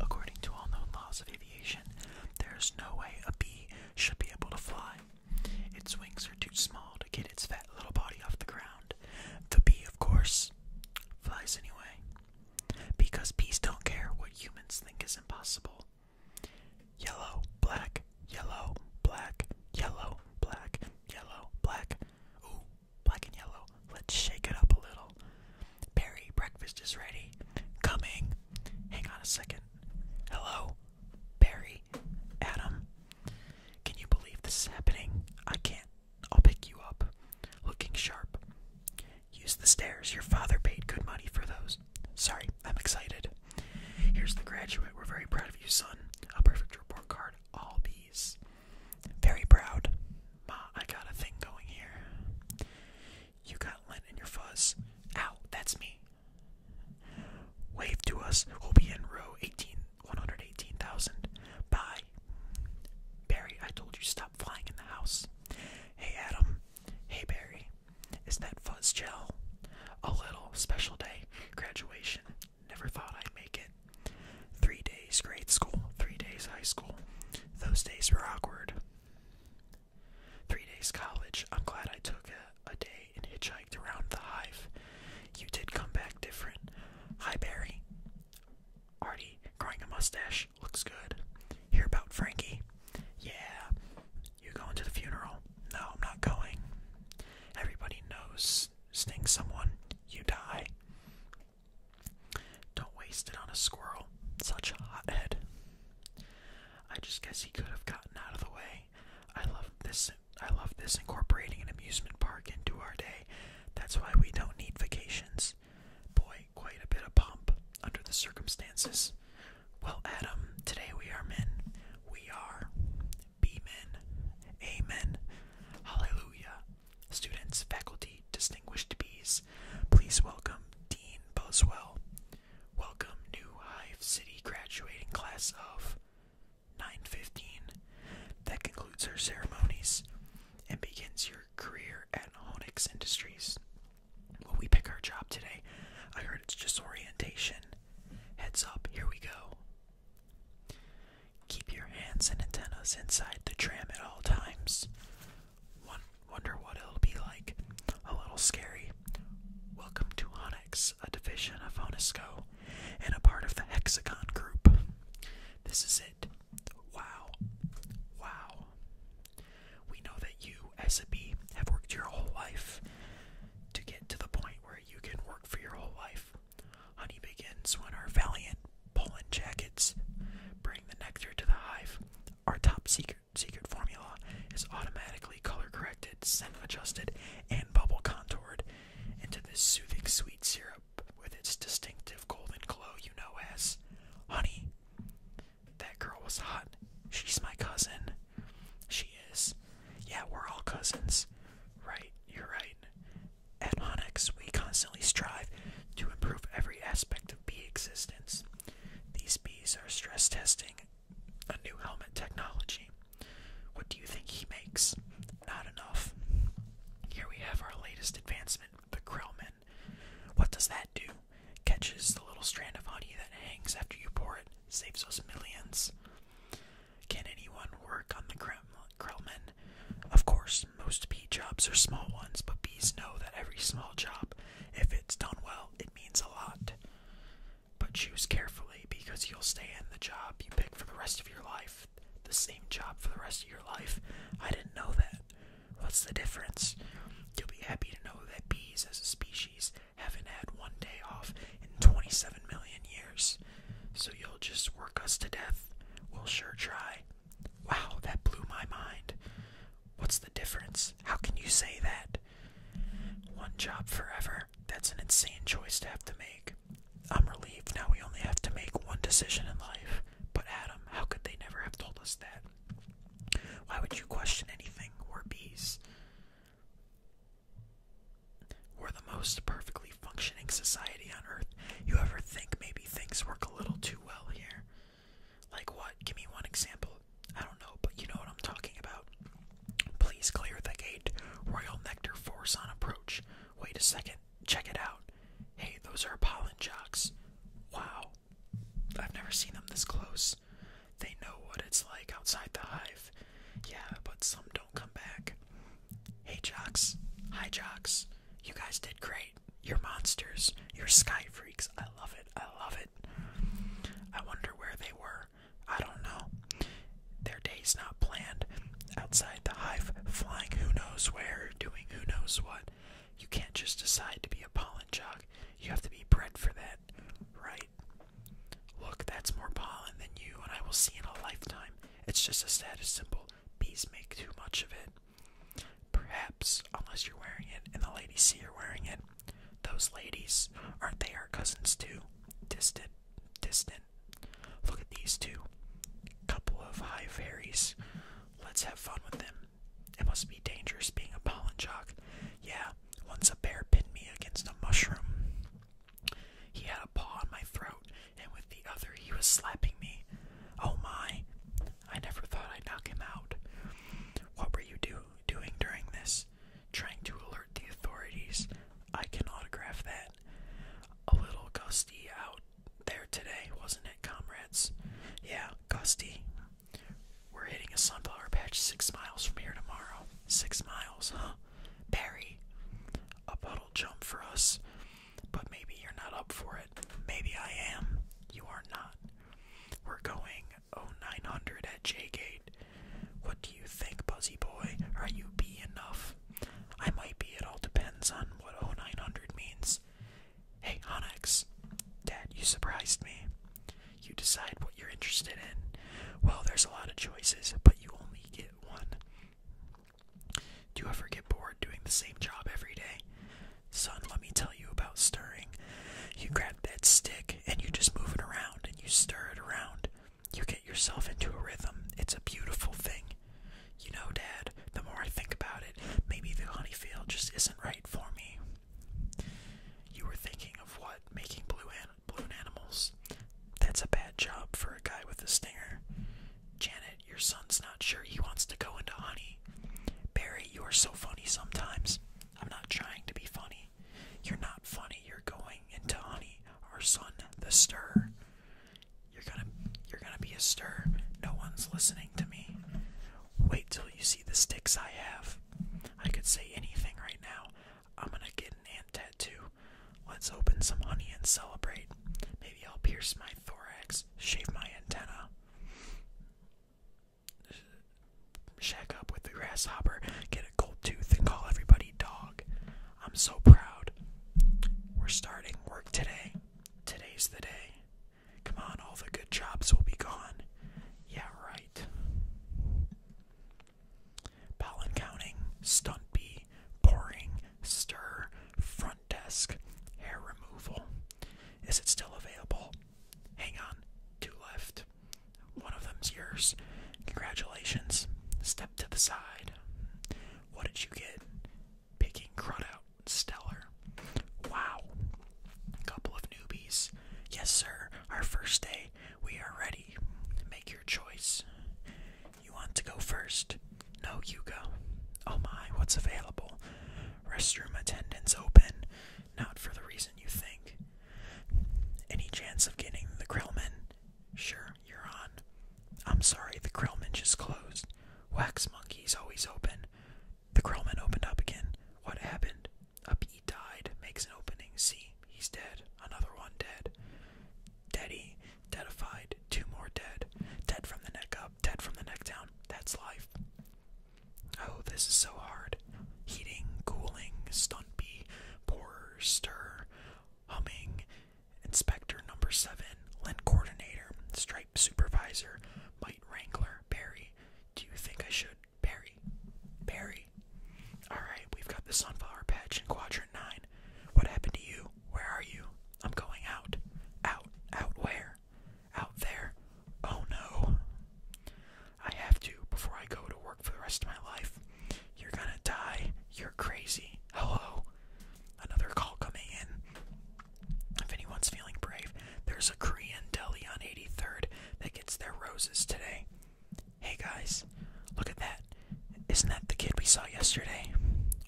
According to all known laws of aviation, there is no way a bee should be able to fly. Its wings are too small to get its fat little body off the ground. The bee, of course, flies anyway. Because bees don't care what humans think is impossible. Yellow, black, yellow, black, yellow, black, yellow, black. Black and yellow. Let's shake it up a little. Barry, breakfast is ready. Coming. Hang on a second. Hello? Barry? Adam? Can you believe this is happening? I can't. I'll pick you up. Looking sharp. Use the stairs. Your father paid good money for those. Sorry, I'm excited. Here's the graduate. We're very proud of you, son. A perfect report card. All bees. Very proud. Ma, I got a thing going here. You got lint in your fuzz. Ow, that's me. Wave to us. We'll be in row 18, 118,000. Bye. Barry, I told you stop flying in the house. Hey, Adam. Hey, Barry. Is that fuzz gel? A little special day. Graduation. Never thought I'd make it. Three days grade school, three days high school. Those days were awkward. Three days college. I'm glad I took a, day and hitchhiked around the hive. You did come back different. Hi, Barry. Artie, growing a mustache. Looks good. Hear about Frankie? Yeah. You going to the funeral? No, I'm not going. Everybody knows. Sting someone, you die. Don't waste it on a squirrel. Such a hot head. I just guess he could have gotten out of the way. I love this. I love this incorporating an amusement park into our day. That's why we don't need vacations. Boy, quite a bit of pomp under the circumstances. Well, Adam, today we are men. We are be men. Amen. Hallelujah. Students, faculty, distinguished bees, please welcome Dean Boswell. Welcome new Hive City graduating class of 915. That concludes our ceremonies and begins your career at Honix Industries. Will we pick our job today? I heard it's just orientation. Heads up, here we go. Keep your hands and antennas inside the tram at all times. wonder what it'll be like. A little scary. Welcome to Onyx, a division of Onisco, and a part of the Hexagon Group. This is it. Wow. Wow. We know that you, as have worked your whole life to get to the point where you can work for your whole life. Honey begins when our valiant pollen jackets bring the nectar to the hive. Our top secret secret formula is automatically color corrected, scent adjusted, and bubble contoured into this soothing sweet syrup with its distinctive golden glow you know as honey. That girl was hot. She's my cousin. She is. Yeah, we're all cousins. Right, you're right. At Onyx, we constantly strive to improve every aspect of bee existence. These bees are stress testing a new helmet technology. What do you think he makes? Not enough. Here we have our latest advancement, the Krillman. What does that do? Catches the little strand of honey that hangs after you pour it, saves us millions. Can anyone work on the Krillman? Of course, most bee jobs are small ones, but bees know that every small job, if it's done well, it means a lot. But choose carefully because you'll stay in the job you pick for the rest of your life. The same job for the rest of your life. I didn't know that. What's the difference? You'll be happy to know that bees as a species haven't had one day off in 27 million years. So you'll just work us to death. We'll sure try. Wow, that blew my mind. What's the difference? How can you say that? One job forever. That's an insane choice to have to make. I'm relieved now we only have to make one decision in life. But Adam, how could they never have told us that? Why would you question anything? We're bees. We're the most perfectly functioning society on Earth. You ever think maybe things work a little too well here. Like what? Give me one example. I don't know, but you know what I'm talking about. Please clear the gate. Royal Nectar Force on approach. Wait a second. Check it out. Hey, those are pollen jocks. Wow. I've never seen them this close. They know what it's like outside the hive. Yeah, but some don't come back. Hey, jocks. Hi, jocks. You guys did great. Your monsters. your sky freaks. I love it. I love it. I wonder where they were. I don't know. Their day's not planned. Outside the hive, flying who knows where, doing who knows what. You can't just decide to be a pollen jog. You have to be bred for that, right? Look, that's more pollen than you and I will see in a lifetime. It's just a status symbol. Bees make too much of it. Perhaps, unless you're wearing it and the ladies see you're wearing it, those ladies, aren't they our cousins too? Distant, distant. Look at these two. Couple of high fairies. Let's have fun with them. It must be dangerous being a pollen jock. Yeah, once a bear pinned me against a mushroom. He had a paw on my throat and with the other he was slapping me. Oh my! I never thought I'd knock him out. What were you do doing during this? Trying to alert the authorities. I can autograph that. A little gusty out there today, wasn't it, comrades? Yeah, gusty. We're hitting a sunflower patch six miles from here tomorrow. Six miles, huh? Barry. A puddle jump for us but maybe you're not up for it. Maybe I am. You are not. We're going 0900 at J Gate. What do you think, Buzzy Boy? Are you B enough? I might be, it all depends on what 0900 means. Hey, Onyx. Dad, you surprised me. You decide what you're interested in. Well, there's a lot of choices, but you only get one. Do you ever get bored doing the same job every day? Son, let me tell you about stirring. You grab that stick and you just move it around and you stir it around. You get yourself into a rhythm. It's a beautiful thing. You know, Dad, the more I think about it, maybe the honey field just isn't right for me. You were thinking of what? Making blue an balloon animals? That's a bad job for a guy with a stinger. Janet your son's not sure he wants to go into honey. Barry, you are so funny sometimes. I'm not trying to be funny. You're not funny. You're going into honey. Our son, the stir. You're gonna you're gonna be a stir. No one's listening to me. Wait till you see the sticks I have. I could say anything right now. I'm gonna get an ant tattoo. Let's open some honey and celebrate. Maybe I'll pierce my thorax shave my antenna, shack up with the grasshopper, get a gold tooth, and call everybody dog. I'm so proud. We're starting work today. Today's the day. Come on, all the good jobs will be gone. Yeah, right. Pollen counting, stunt bee, stir, front desk. Hair removal. Is it still available? Hang on, two left. One of them's yours. Congratulations. Step to the side. What did you get? Picking crud out. Stellar. Wow. Couple of newbies. Yes, sir. Our first day. We are ready. Make your choice. You want to go first? No, you go. Oh my, what's available? Restroom attendance open. Not for the reason you think. Any chance of getting the Krillman? Sure, you're on. I'm sorry, the Krillman just closed. Wax Monkey's always open. The Krillman opened up again. What happened? A bee died, makes an opening. See, he's dead. Another one dead. Deady, deadified, two more dead. Dead from the neck up dead from the neck down. That's life. Oh, this is so hard. Heating, cooling, stumpy, pour, stir, humming, inspector number seven, lint coordinator, stripe supervisor, bite wrangler, Barry. Do you think I should? Barry. Barry. Alright, we've got the sunflower patch in quadrant nine. What happened to you? Where are you? I'm going out. Out. Out where? out there. Oh no. I have to before I go to work for the rest of my life. You're gonna die. You're crazy. Hello. Another call coming in. If anyone's feeling brave, there's a Korean deli on 83rd that gets their roses today. Hey guys, look at that. Isn't that the kid we saw yesterday?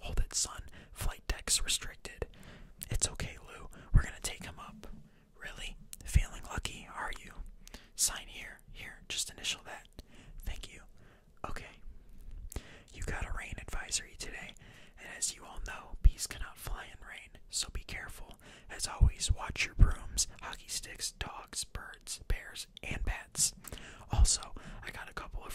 Hold it, son. Flight deck's restricted. It's okay, Lou. We're gonna take him up. Really? Feeling lucky, are you? Sign here. Here, just initial that. Thank you. Okay. You got a rain advisory today, and as you all know, bees cannot fly in rain, so be careful. As always, watch your brooms, hockey sticks, dogs, birds, bears, and bats. Also, I got a couple of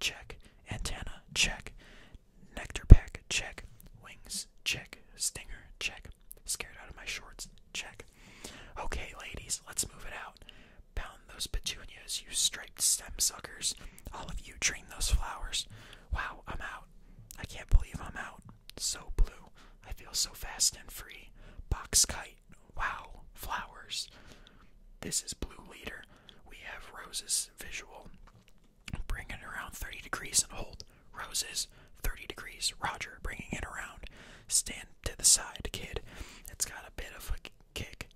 check. Antenna, check. Nectar pack, check. Wings, check. Stinger, check. Scared out of my shorts, check. Okay, ladies, let's move it out. Pound those petunias, you striped stem suckers. All of you dream those flowers. Wow, I'm out. I can't believe I'm out. So blue. I feel so fast and free. Box kite. Wow, flowers. This is Blue Leader. We have roses visual. Bring it around 30 degrees and hold. Roses, 30 degrees. Roger, bringing it around. Stand to the side, kid. It's got a bit of a kick.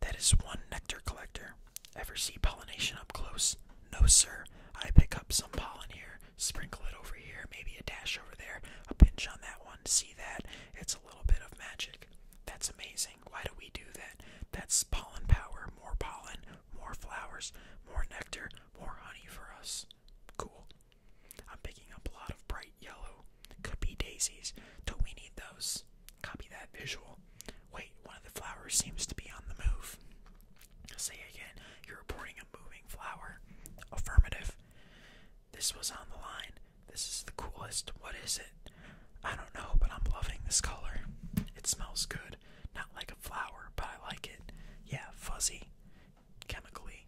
That is one nectar collector. Ever see pollination up close? No, sir. I pick up some pollen here, sprinkle it over here, maybe a dash over there, a pinch on that one. See that? It's a little bit of magic that's amazing. Why do we do that? That's pollen power. More pollen, more flowers, more nectar, more honey for us. Cool. I'm picking up a lot of bright yellow. Could be daisies. Don't we need those? Copy that visual. Wait, one of the flowers seems to be on the move. Say again, you're reporting a moving flower. Affirmative. This was on the line. This is the coolest. What is it? I don't know, but I'm loving this color. It smells good. Not like a flower, but I like it. Yeah, fuzzy. Chemically.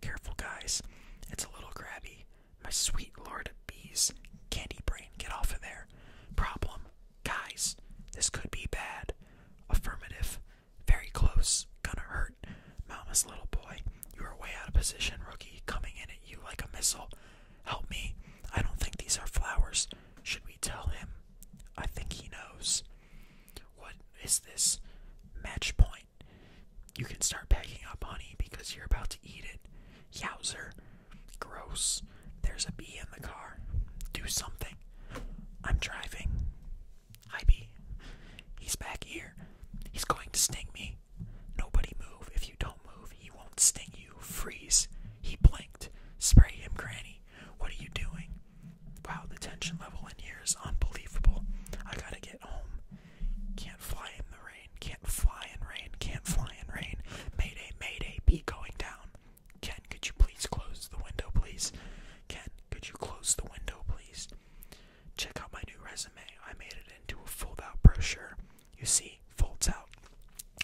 Careful, guys. It's a little grabby. My sweet lord of bees. Candy brain, get off of there. Problem. Guys, this could be bad. Affirmative. Very close. Gonna hurt. Mama's little boy, you are way out of position, rookie, coming in at you like a missile. Help me. I don't think these are flowers. Should we tell him? I think he knows. What is this? Match point. You can start packing up, honey, because you're about to eat it. Yowzer. Gross. There's a bee in the car. Do something. I'm driving. Hi, bee. He's back here. He's going to sting me. Nobody. move. If you don't move, he won't sting you. Freeze. He blinked. Spray him, Granny. What are you doing? Wow, the tension level in here is unbelievable. I gotta get home. Can't fly in the rain. Can't fly in rain. Can't fly in rain. Mayday, mayday. Be going down. Ken, could you please close the window, please? Ken, could you close the window, please? Check out my new resume. I made it into a fold out brochure. You see, folds out.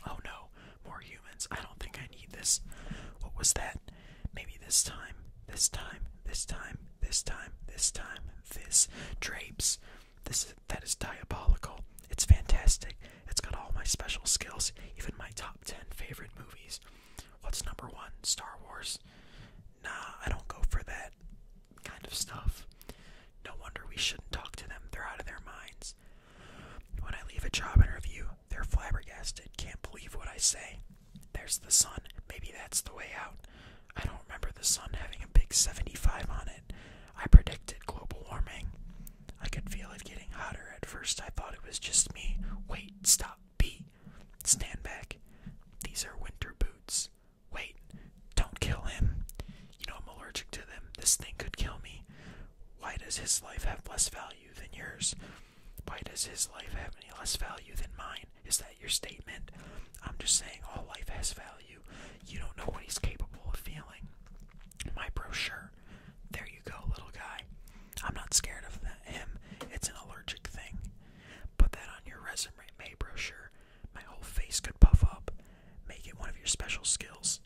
Oh no, more humans. I don't think I need this. What was that? Maybe this time, this time, this time, this time, this time, this. Drapes. This is, that is diabolical. It's fantastic. It's got all my special skills, even my top 10 favorite movies. What's number one? Star Wars. Nah, I don't go for that kind of stuff. No wonder we shouldn't talk to them, they're out of their minds. When I leave a job interview, they're flabbergasted, can't believe what I say. There's the sun, maybe that's the way out. I don't remember the sun having a big 75 on it. I predicted global warming. I could feel it getting hotter. At first, I thought it was just me. Wait, stop, B. Stand back. These are winter boots. Wait, don't kill him. You know I'm allergic to them. This thing could kill me. Why does his life have less value than yours? Why does his life have any less value than mine? Is that your statement? I'm just saying all life has value. You don't know what he's capable of feeling. My brochure. There you go, little guy. I'm not scared of him. It's an allergic thing. Put that on your resume, brochure. My whole face could puff up. Make it one of your special skills.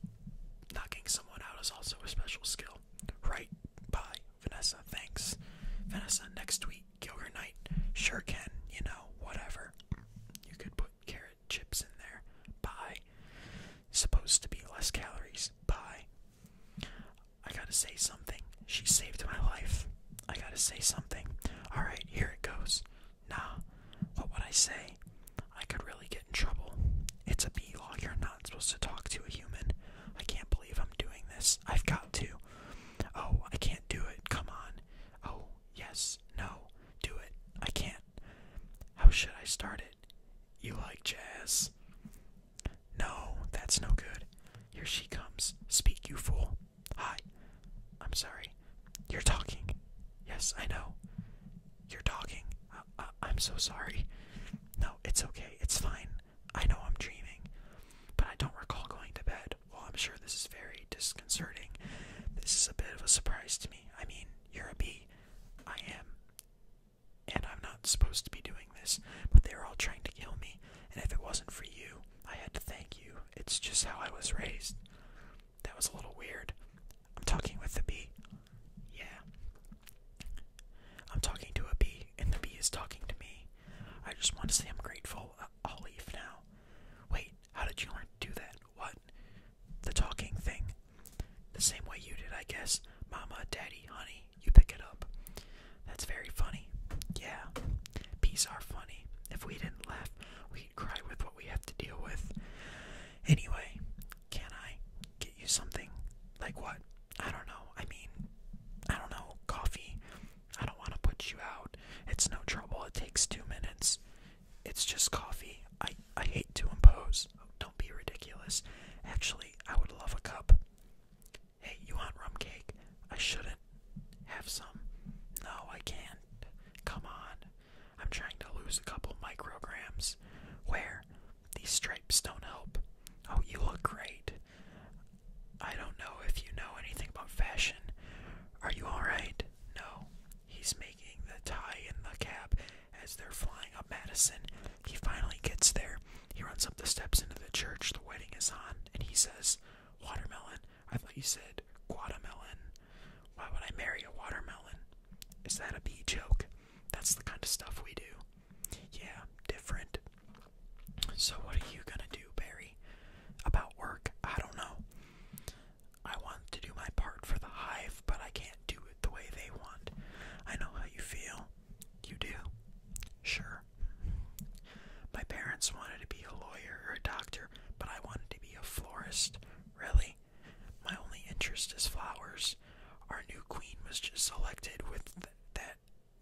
Knocking someone out is also a special skill. Right. Bye. Vanessa, thanks. Vanessa, next week, Gilger Knight. Sure can, you know, whatever. You could put carrot chips in there. Bye. Supposed to be less calories. Bye. I gotta say something. She saved my life. I gotta say something. Alright, here it goes. Nah, what would I say? I could really get in trouble. It's a bee law. You're not supposed to talk to a human. I can't believe I'm doing this. I've got to. Oh, I can't do it. Come on. Oh, yes. No. Do it. I can't. How should I start it? You like jazz? No, that's no good. Here she comes. Speak, you fool. Hi. I'm sorry. You're talking. Yes, I know. You're talking. I'm so sorry. No, it's okay. It's fine. I know I'm dreaming, but I don't recall going to bed. Well, I'm sure this is very disconcerting. This is a bit of a surprise to me. I mean, you're a bee. I am. And I'm not supposed to be doing this, but they're all trying to kill me. And if it wasn't for you, I had to thank you it's just how I was raised. That was a little weird. I'm talking with the bee. Yeah. I'm talking to a bee, and the bee is talking to me. I just want to say I'm grateful. Uh, I'll leave now. Wait, how did you learn to do that? What? The talking thing. The same way you did, I guess. Mama, daddy, honey, you pick it up. That's very funny. Yeah. Bees are funny. If we didn't laugh, we cry with what we have to deal with. Anyway, can I get you something? Like what? I don't know. I mean, I don't know. Coffee. I don't want to put you out. It's no trouble. It takes two minutes. It's just coffee. I, I hate to impose. don't be ridiculous. Actually, I would love a cup. Hey, you want rum cake? I shouldn't have some? No, I can't. Come on. I'm trying to lose a couple micrograms. Where? These stripes don't help. Oh, you look great. I don't know if you know anything about fashion. Are you alright? No. He's making the tie in the cab as they're flying up Madison. He finally gets there. He runs up the steps into the church the wedding is on, and he says, Watermelon, I thought you said watermelon. Why would I marry a watermelon? Is that a bee joke? That's the kind of stuff we do. Yeah, different. So, what are you gonna do, Barry? About work? I don't know. I want to do my part for the hive, but I can't do it the way they want. I know how you feel. You do? Sure. My parents wanted to be a lawyer or a doctor but I wanted to be a florist. Really? My only interest is flowers. Our new queen was just selected with that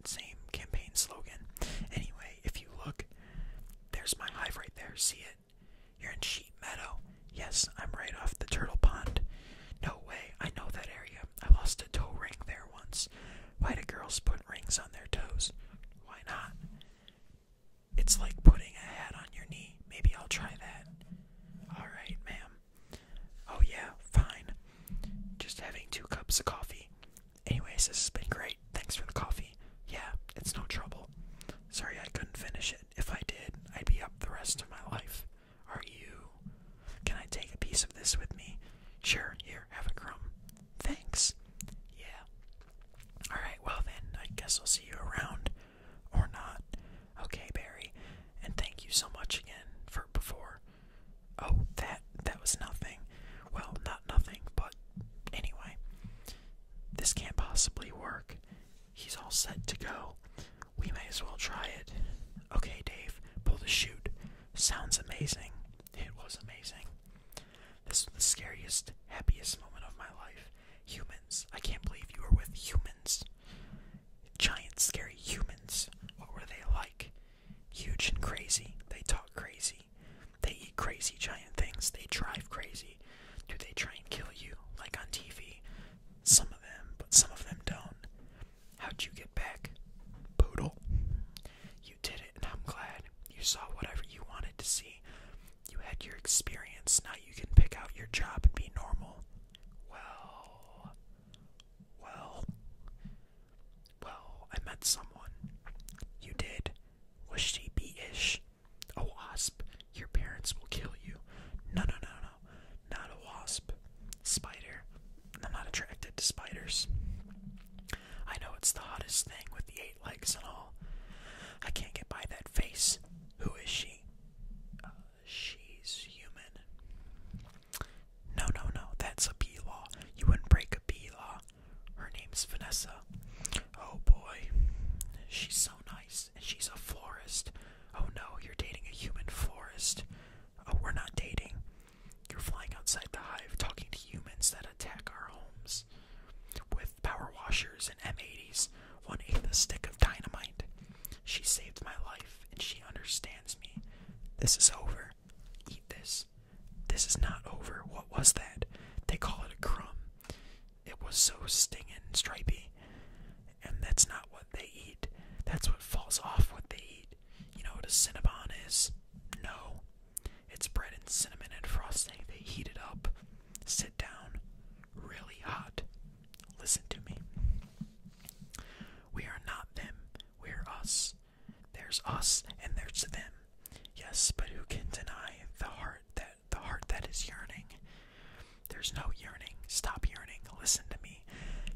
same campaign slogan. Anyway, if you look, there's my hive right there. See it? You're in Sheep Meadow. Yes, I'm right off the Turtle Pond. No way, I know that area. I lost a toe ring there once. Why do girls put rings on their toes? Why not? It's like putting a hat on your knee. Maybe I'll try that. Alright, ma'am. Oh, yeah, fine. Just having two cups of coffee. Anyways, this has been great. Thanks for the coffee. Yeah, it's no trouble. Sorry I couldn't finish it. If I did, I'd be up the rest of my life. Are you? Can I take a piece of this with me? Sure, here, have a crumb. Thanks. Yeah, Alright, well then, I guess I'll see you around. Or not. Okay, Barry. And thank you so much again for before. Oh, that that was nothing. Well, not nothing, but anyway. This can't possibly work. He's all set to go. We may as well try it. Okay, Dave, pull the chute. Sounds amazing. It was amazing. This was the scariest, happiest moment of my life. Humans. I can't believe you were with humans. Giant, scary humans. What were they like? Huge and crazy. They talk crazy. They eat crazy giant things. They drive crazy. Do they try and kill you, like on TV? Some of them, but some of them don't. How'd you get back? Poodle. You did it. I'm glad you saw whatever you wanted to see. You had your experience, now you can pick out your job and be normal. Well, well, well, I met someone. You did. Was she be ish? A wasp. Your parents will kill you. No, no, no, no. Not a wasp. Spider. I'm not attracted to spiders. I know it's the hottest thing with the eight legs and all. I can't get by that face. Who is she? Uh, she's human. No, no, no, that's a bee law. You wouldn't break a bee law. Her name's Vanessa. Oh boy, she's so nice, and she's a florist. Oh no, you're dating a human florist. Oh, we're not dating. You're flying outside the hive talking to humans that attack our homes with power washers and M80s, one eighth a stick of dynamite. She saved my life and she understands me. This is over. Eat this. This is not over. What was that? They call it a crumb. It was so stinging and stripy. And that's not what they eat. That's what falls off what they eat. You know what a Cinnabon is? No. It's bread and cinnamon and frosting. They heat it up. Sit down. Really hot. Listen to me. We are not them. We're us. There's us and there's them. Yes, but who can deny the heart that the heart that is yearning? There's no yearning. Stop yearning. Listen to me.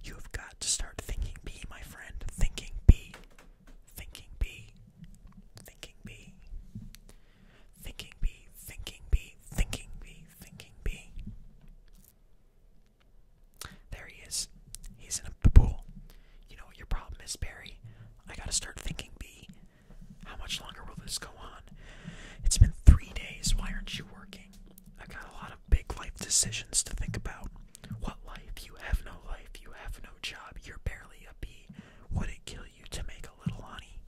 You have got to start thinking B, my friend. Thinking B. Thinking bee, thinking bee, thinking bee, thinking bee, thinking bee, thinking bee. There he is. He's in a pool. You know what your problem is, Barry? I gotta start thinking bee. How much longer will this go on? It's been three days. Why aren't you working? I've got a lot of big life decisions to think about. What life? You have no life. You have no job. You're barely a bee. Would it kill you to make a little honey?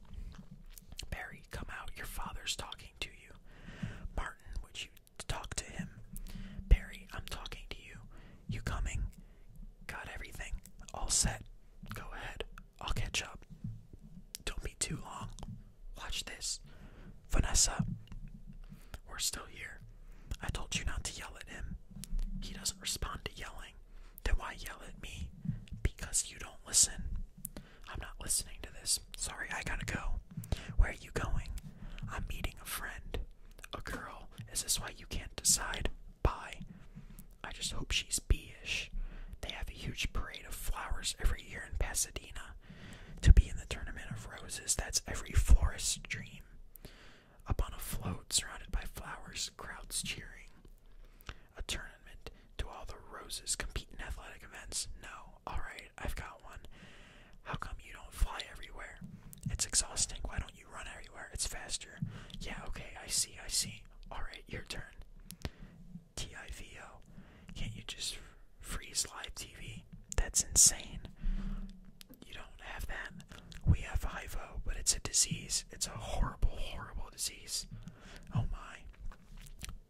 Barry, come out, your father's talking to you. Martin, would you talk to him? Barry, I'm talking to you. You coming? Got everything. All set. Go ahead. I'll catch up. Don't be too long. Watch this. Vanessa, we're still here. I told you not to yell at him. He doesn't respond to yelling. Then why yell at me? Because you don't listen. I'm not listening to this. Sorry, I gotta go. Where are you going? I'm meeting a friend. A girl. Is this why you can't decide? Bye. I just hope she's B-ish. They have a huge parade of flowers every year in Pasadena. To be in the Tournament of Roses, that's every florist's dream. Up on a float surrounded by flowers, crowds cheering. A tournament? to all the roses compete in athletic events? No. Alright, I've got one. How come you don't fly everywhere? It's exhausting. Why don't you run everywhere? It's faster. Yeah, okay, I see, I see. Alright, your turn. TIVO. Can't you just freeze live TV? That's insane you don't have that. We have HIVO, but it's a disease. It's a horrible, horrible disease. Oh my.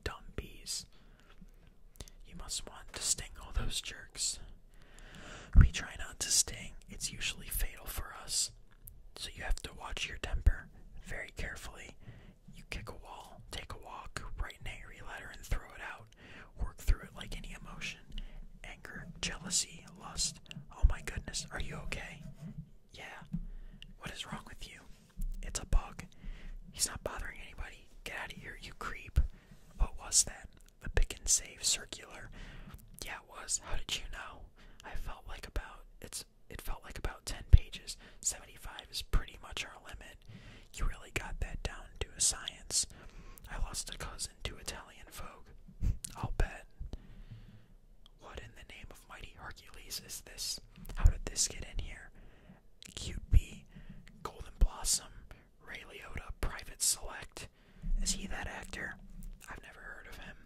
Dumb bees. You must want to sting all those jerks. We try not to sting, it's usually fatal for us. So you have to watch your temper very carefully. You kick a wall, take a walk, write an angry letter, and throw it out. Work through it like any emotion anger, jealousy, lust. Oh my goodness, are you okay? Yeah. What is wrong with you? It's a bug. He's not bothering anybody. Get out of here, you creep. What was that? The pick and save circular. Yeah, it was. How did you know? I felt like about it's it felt like about 10 pages. 75 is pretty much our limit. You really got that down to a science. I lost a cousin to Italian Vogue. I'll bet. What in the name of mighty Hercules is this? How did this get in here? Cute Golden Blossom, Ray Private Select. Is he that actor? I've never heard of him.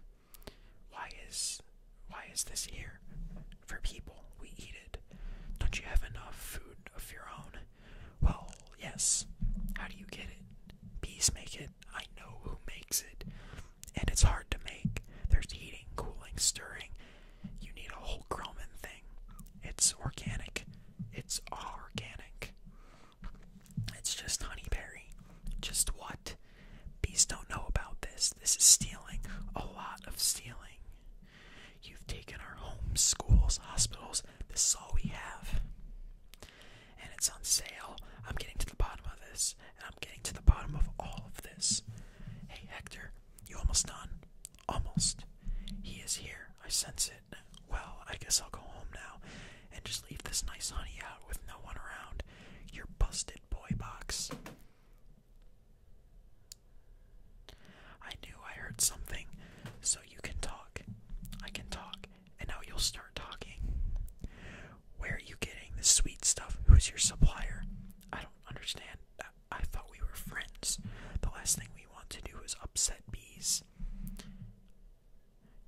Why is why is this here? For people, we eat it. Don't you have enough food of your own? Well, yes. How do you get it? Bees make it. I know who makes it, and it's hard to make. There's heating, cooling, stirring. You need a whole Grumman thing. It's organic. It's all organic. It's just honeyberry. Just what? Bees don't know about this. This is stealing. A lot of stealing. You've taken our homes, schools, hospitals. This is all we have and it's on sale. I'm getting to the bottom of this, and I'm getting to the bottom of all of this. Hey, Hector, you almost done? Almost. He is here. I sense it. Well, I guess I'll go home now and just leave this nice honey out with no one around. Your busted boy box. I knew I heard something, so you can talk. I can talk and now you'll start talking. Where are you getting the sweet stuff? Who's your supplier? I don't understand. I, thought we were friends. The last thing we want to do is upset bees.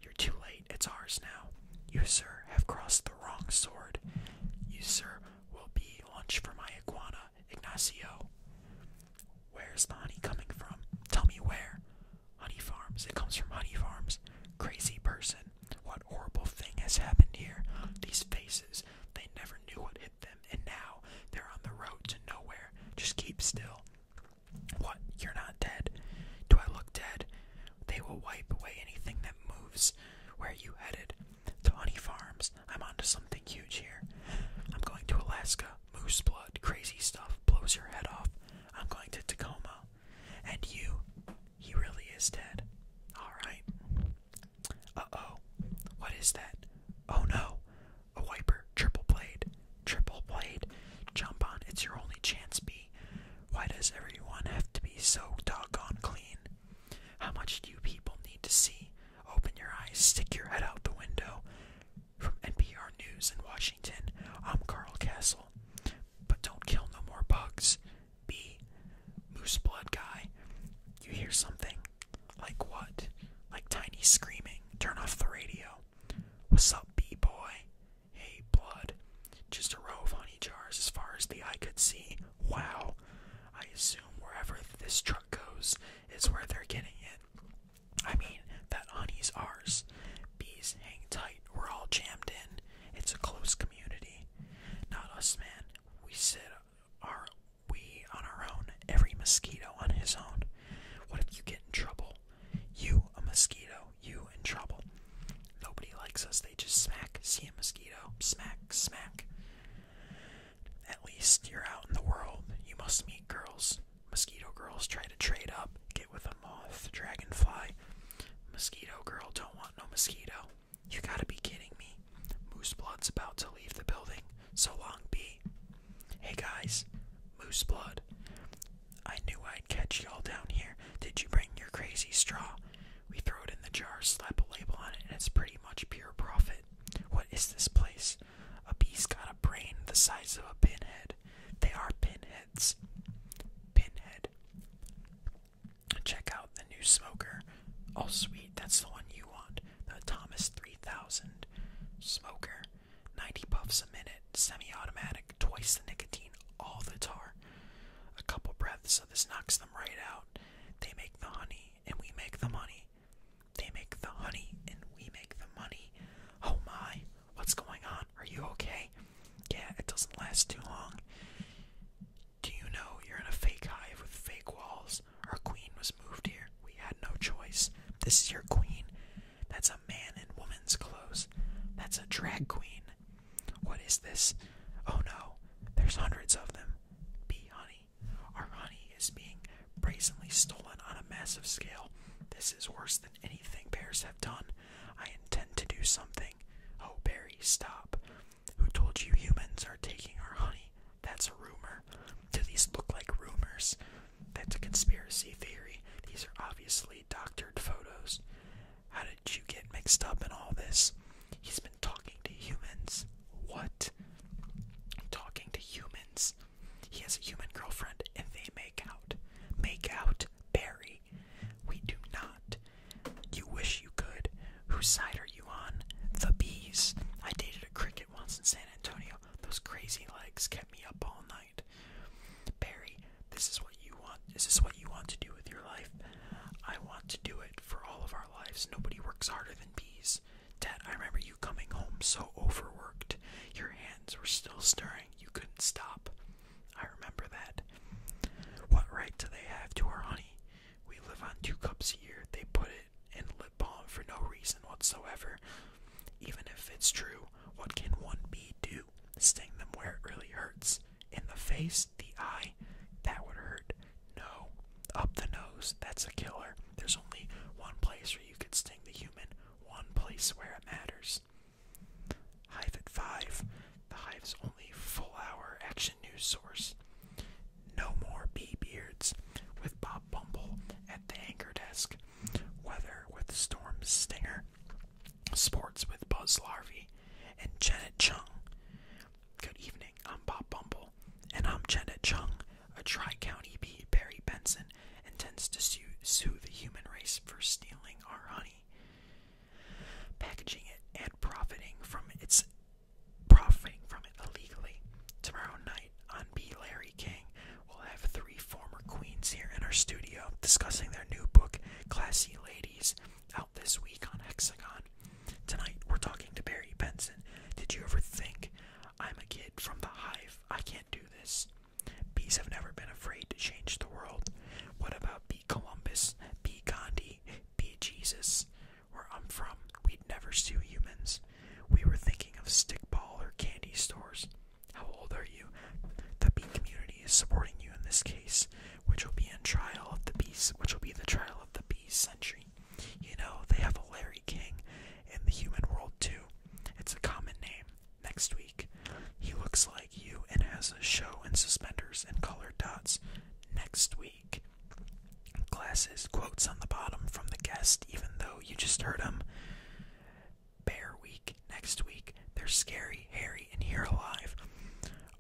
You're too late. It's ours now. You, sir, have crossed the wrong sword. You, sir, will be lunch for my iguana, Ignacio. Where's the honey coming from? Tell me where. Honey Farms. It comes from Honey Farms. Crazy person. What horrible thing has happened here? These faces. They never knew what hit them, and now they're on the road to nowhere. Just keep still. What? You're not dead? Do I look dead? They will wipe away anything that moves. Where are you headed? To Honey Farms. I'm onto something huge here. I'm going to Alaska. Moose blood. Crazy stuff. Blows your head off. I'm going to Tacoma. And you, he really is dead. Alright. Uh oh. What is that? Oh no. A wiper. Triple blade. Triple blade. Jump on. It's your only chance, B. Why does everyone have to be so doggone clean? How much do you people need to see? Open your eyes. Stick your head out the window. From NPR News in Washington, I'm Carl Castle. But don't kill no more bugs. B. Moose blood guy. You hear something? Like what? Like tiny screaming. Turn off the radio. What's up, B boy? Hey, blood. Just a row of honey jars as far as the eye could see. Wow. I assume wherever this truck goes is where they're getting it. I mean, that honey's ours. Bees hang tight we're all jammed in. It's a close community. Not us, man. We sit our we on our own. Every mosquito on his own. What if you get in trouble? You a mosquito. You in trouble. Nobody likes us. They just smack. See a mosquito. Smack. Smack. At least you're out in the world. You must meet girls. Mosquito girls try to trade up. Get with a moth, dragonfly, mosquito girl. Don't want no mosquito. You gotta be kidding me. Mooseblood's about to leave the building. So long, B. Hey guys, Mooseblood. I knew I'd catch y'all down here. Did you bring your crazy straw? We throw it in the jar, slap a label on it, and it's pretty much pure profit. What is this place? A bee's got a brain the size of a pinhead. They are pinhead. Pinhead. Check out the new smoker. Oh, sweet, that's the one you want. The Thomas 3000 smoker. 90 puffs a minute, semi automatic, twice the nicotine, all the tar. A couple breaths, so this knocks them right out. They make the honey, and we make the money. They make the honey, and we make the money. Oh my. What's going on? Are you okay? Yeah, it doesn't last too long. Do you know you're in a fake hive with fake walls? Our queen was moved here. We had no choice. This is your queen. That's a man in woman's clothes. That's a drag queen. What is this? Oh no, there's hundreds of them. Bee honey. Our honey is being brazenly stolen on a massive scale. This is worse than anything bears have done. I intend to do something. Oh, Barry, stop. Who told you humans are taking our honey? That's a rumor. Do these look like rumors? That's a conspiracy theory. These are obviously doctored photos. How did you get mixed up in all this? He's been talking to humans. What? Talking to humans. He has a human girlfriend and they make out. Make out? Barry country. We do not. You wish you could. Whose side are you on? The bees. I dated a cricket once in San Antonio. Those crazy legs kept me up all night. Barry, this is what you want. This Is what you want to do with your life? I want to do it for all of our lives. Nobody works harder than bees. Dad, I remember you coming home so overworked. Your hands were still stirring. You couldn't stop. I remember that. What right do they have to our honey? We live on two cups a year. They put it in lip balm for no reason whatsoever. Even if it's true, what can one bee do? Sting them where it really hurts. In the face, the eye, that would hurt. No. Up the nose, that's a killer. There's only one place where you could sting the human, one place where it matters. Hive at 5, the Hive's only full hour action news source. No more Bee Beards with Bob Bumble at the anchor desk. Weather with Storm Stinger. Sports with Buzz Larvey and Janet Chung. Good evening, I'm Bob Bumble, and I'm Janet Chung, a Tri County bee, Barry Benson, intends to sue, sue the human race for stealing our honey packaging it and profiting from its profiting from it illegally. Tomorrow night on B Larry King, we'll have three former queens here in our studio discussing their new book, Classy Ladies, out this week on Hexagon. Tonight we're talking to Barry Benson. Did you ever think I'm a kid from the hive? I can't do this. Bees have never been afraid to change the world. What about Be Columbus, Be Gandhi, Be Jesus? Where I'm from, we'd never sue humans. We were thinking of stickball or candy stores. How old are you? The bee community is supporting you in this case, which will be in trial of the bees, which will be the trial of the bee century. You know, they have a Larry King in the human world too. It's a common name next week. He looks like you and has a show in suspenders and colored dots next week. Glasses, quotes on the bottom from the guest, even though you just heard him. Bear week next week. They're scary, hairy, and here alive.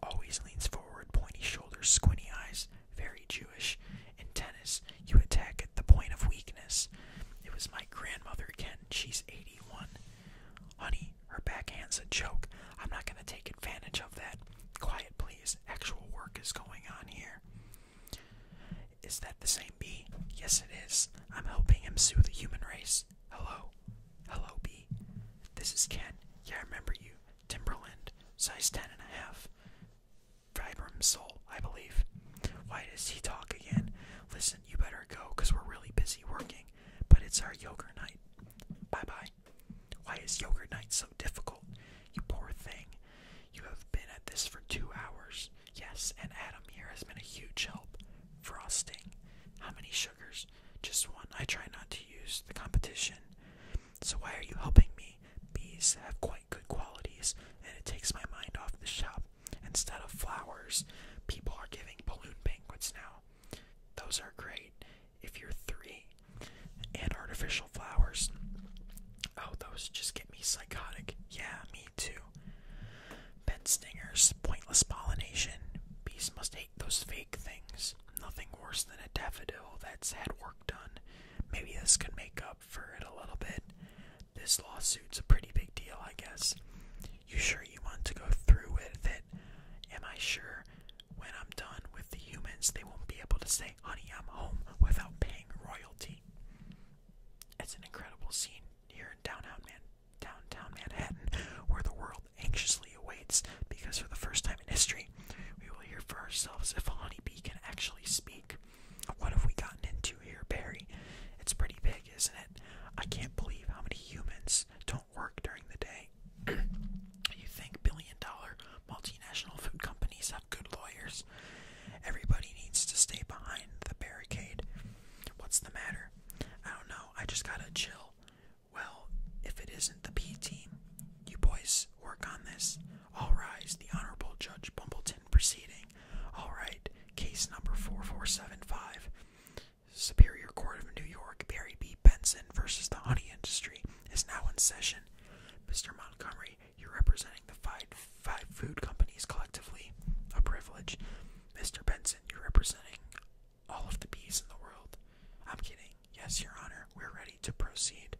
Always leans forward, pointy shoulders, squinty eyes, very Jewish. In tennis, you attack at the point of weakness. It was my grandmother again. She's 81. Honey, her backhand's a joke. I'm not going to take advantage of that. Quiet, please. Actual work is going on here. Is that the same bee? Yes, it is. I'm helping him sue the human race. Hello. Hello, bee. This is Ken. Yeah, I remember you. Timberland. Size ten and a half. Vibram soul, I believe. Why does he talk again? Listen, you better go, because we're really busy working but it's our yogurt night. Bye bye. Why is yogurt night so difficult? You poor thing. You have been at this for two hours. Yes, and Adam here has been a huge help. Frosting. How many sugars? Just one. I try not to use the competition. So why are you helping me? Bees have quite good qualities, and it takes my mind off the shop Instead of flowers, people are giving balloon banquets now. Those are great if you're three. And artificial flowers. Oh, those just get me psychotic. Yeah, me too. Bed stingers, pointless pollination. Bees must hate those fake things. Nothing worse than a daffodil that's had work done. Maybe this could make up for it a little bit. This lawsuit's a pretty big deal, I guess. You sure you want to go through with it? Am I sure when I'm done with the humans, they won't be able to say, honey, I'm home without paying royalty? It's an incredible scene here in downtown, Man downtown Manhattan, where the world anxiously awaits because for the first time in history, we will hear for ourselves if a honeybee can actually speak. What have we gotten into here, Barry? It's pretty big, isn't it? I can't believe how many humans don't work during the day. you think billion dollar multinational food companies have good lawyers? Everybody needs to stay behind the barricade. What's the matter? I don't know. I just gotta chill. Well, if it isn't the P team, you boys work on this. All rise. The Honorable Judge Bumbleton proceeding. All right. Case number 4475. Superior Court of New York, Barry B. Benson versus the honey industry, is now in session. Mr. Montgomery, you're representing the five, five food companies collectively, a privilege. Mr. Benson, you're representing all of the bees in the world. I'm kidding. Yes, Your Honor, we're ready to proceed.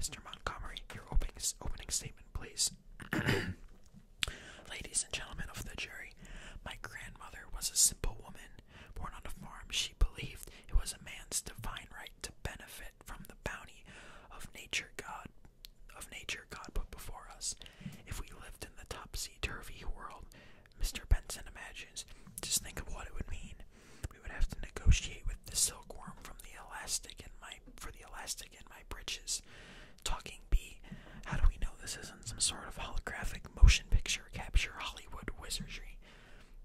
Mr. Montgomery, your opening, opening statement, please. Ladies and gentlemen of the jury, my grandmother was a simple woman. Born on a farm, she believed it was a man's divine right to benefit from the bounty of nature God of nature God put before us. If we lived in the topsy turvy world, Mr. Benson imagines, just think of what it would mean. We would have to negotiate with the silkworm from the elastic in my for the elastic in my breeches. Talking bee, How do we know this isn't some sort of holographic motion picture capture Hollywood wizardry?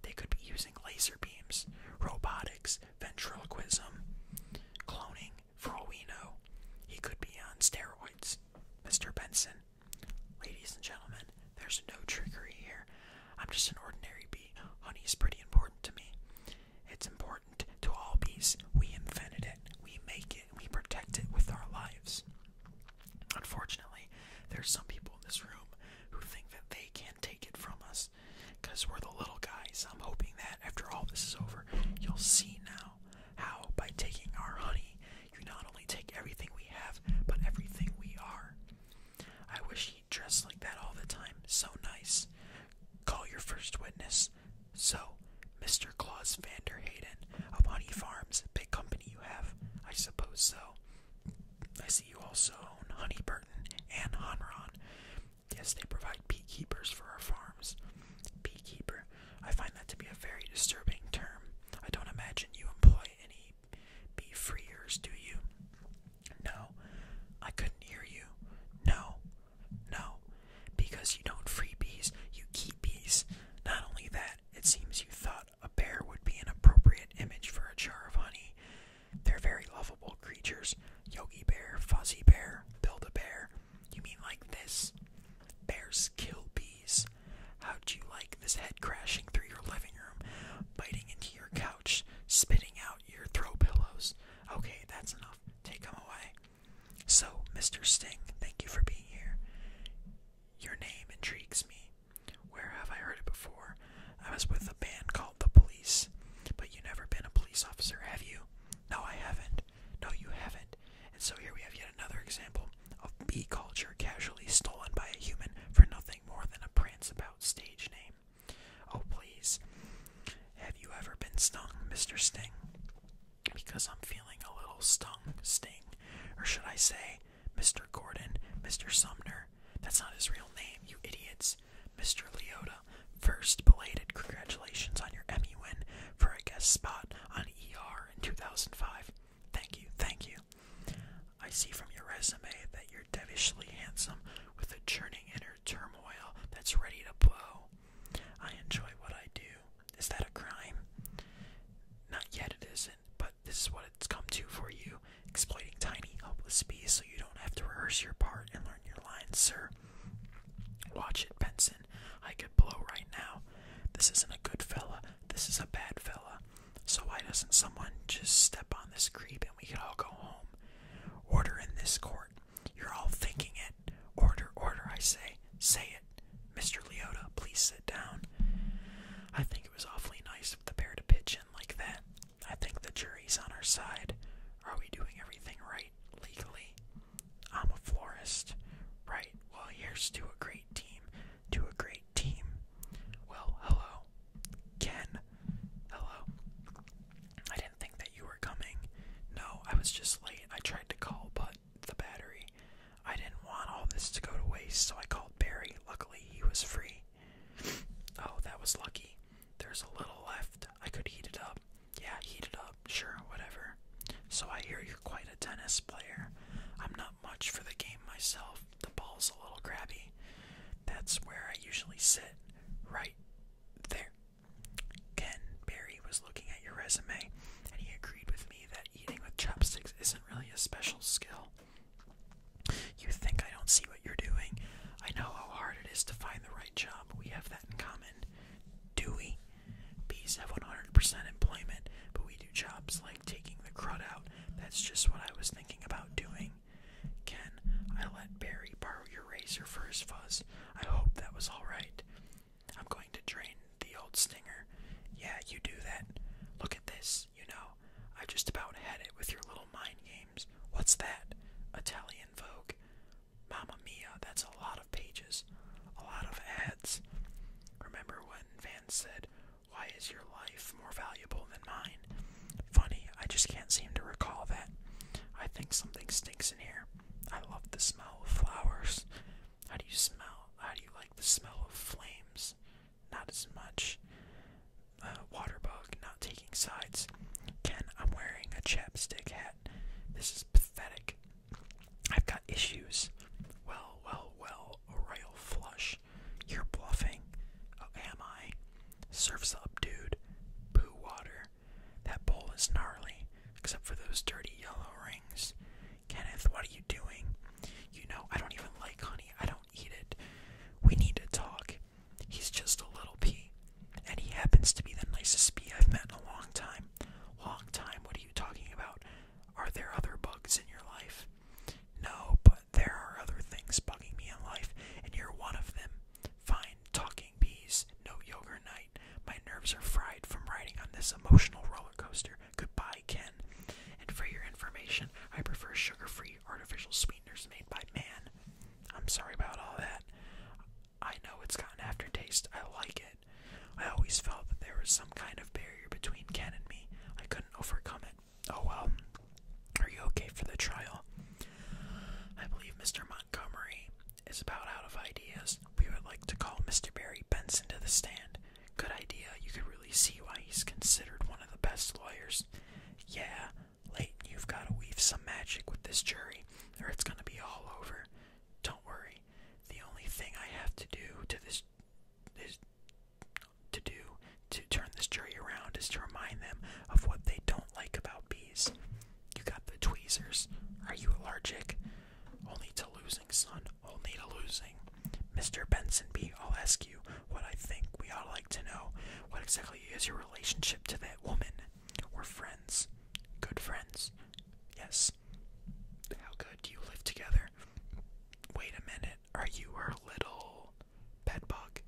They could be using laser beams, robotics, ventriloquism, cloning, for all we know. He could be on steroids. Mr. Benson, ladies and gentlemen, there's no trickery here. I'm just an ordinary bee. Honey is pretty important to me. It's important to all bees. We invented it, we make it we protect it with our lives. Unfortunately, there's some people in this room who think that they can take it from us because we're the little guys. I'm hoping that after all this is over, you'll see now how by taking our honey, you not only take everything we have, but everything we are. I wish he'd dress like that all the time. So nice. Call your first witness. So, Mr. Claus Vanderhayden of Honey Farms, big company you have, I suppose so. I see you also own Honey Burton and Honron. Yes, they provide beekeepers for our farms. Beekeeper, I find that to be a very disturbing term. I don't imagine you employ any bee freers, do you? No, I couldn't hear you. No, no, because you don't free bees, you keep bees. Not only that, it seems you thought a bear would be an appropriate image for a jar of honey. They're very lovable creatures. Yogi Bear, Fuzzy Bear, Build a Bear. You mean like this? Bears kill bees. How'd you like this head crashing through your living room, biting into your couch, spitting out your throw pillows? Okay, that's enough. Take them away. So, Mr. Sting, thank you for being here. Your name intrigues me. Where have I heard it before? I was with a band called The Police. But you have never been a police officer, have you? No, I haven't. No, you haven't. And so here we have yet another example of bee culture casually stolen by a human for nothing more than a prance about stage name. Oh, please. Have you ever been stung, Mr. Sting? because I'm feeling a little stung, sting, or should I say, Mr. Gordon, Mr. Sumner. That's not his real name, you idiots. Mr. Leota, first belated congratulations on your Emmy win for a guest spot on ER in 2005. Thank you, thank you. I see from your resume that you're devishly handsome with a churning inner turmoil that's ready to blow. I enjoy what I do. Is that a crime? Not yet, it isn't, but this is what it's come to for you exploiting tiny, helpless bees so you don't have to rehearse your part and learn your lines, sir. Watch it, Benson. I could blow right now. This isn't a good fella, this is a bad fella. So why doesn't someone just step on this creep and we could all go home? Order in this court. You're all thinking it. Order, order, I say. Say it. Mr. Leota, please sit down. I think it was awfully nice of the pair to pitch in like that. I think the jury's on our side. Are we doing everything right, legally? I'm a florist. Right, well, here's to a great team. To a great team. Well, hello. Ken. Hello. I didn't think that you were coming. No, I was just late. I tried to call, but the battery. I didn't want all this to go to waste, so I called Barry. Luckily, he was free. Oh, that was lucky. There's a little left. I could heat it up. Yeah, heat it up. Sure, whatever. So I hear you're quite a tennis player. I'm not much for the game myself. The ball's a little grabby. That's where I usually sit. Right there. Ken Barry was looking at your resume, and he agreed with me that eating with chopsticks isn't really a special skill. You think I don't see what you're doing? I know how hard it is to find the right job. We have that in common. Do we? Bees have 100% employment, but we do jobs like taking the crud out. That's just what I was thinking about doing. Ken, I let Barry borrow your razor for his fuzz. I hope that was alright. I'm going to drain the old stinger. Yeah, you do that. Look at this, you know. I just about had it with your little mind games. What's that? Italian Vogue. Mamma mia, that's a lot of pages. A lot of ads. Remember when Van said, Why is your life more valuable than mine? Funny, I just can't seem to recall that. I think something stinks in here. I love the smell of flowers. How do you smell? How do you like the smell of flames? Not as much. Uh, water bug, not taking sides. Ken, I'm wearing a chapstick hat. This is pathetic. I've got issues. Well, well, well, Royal Flush. You're bluffing. Oh, am I? Surf's up, dude. Poo water. That bowl is gnarly, except for those dirty yellow rings. Kenneth, what are you doing? You know, I don't even like honey. I don't eat it. We need to talk. He's just a little pea. And he happens to be the nicest bee I've met in a long time. Long time? What are you talking about? Are there other bugs in your life? No, but there are other things bugging me in life, and you're one of them. Fine, talking bees. No yogurt my nerves are fried from riding on this emotional roller coaster. Goodbye, Ken. And for your information, I prefer sugar-free artificial sweeteners made by man. I'm sorry about all that. I know it's got an aftertaste. I like it. I always felt that there was some kind of barrier between Ken and me. I couldn't overcome it. Oh well. Are you okay for the trial? I believe Mr. Montgomery is about out of ideas. We would like to call Mr. Barry Benson to the stand. Good idea. You can really see why he's considered one of the best lawyers. Yeah, Late. you've got to weave some magic with this jury, or it's going to be all over. Don't worry. The only thing I have to do to this is to do to turn this jury around is to remind them of what they don't like about bees. You got the tweezers. Are you allergic? Only to losing, son. Only to losing. Mr. Benson B, I'll ask you what I think we ought like to know. What exactly is your relationship to that woman? We're friends. Good friends. Yes. How good do you live together? Wait a minute. Are you her little pet bug?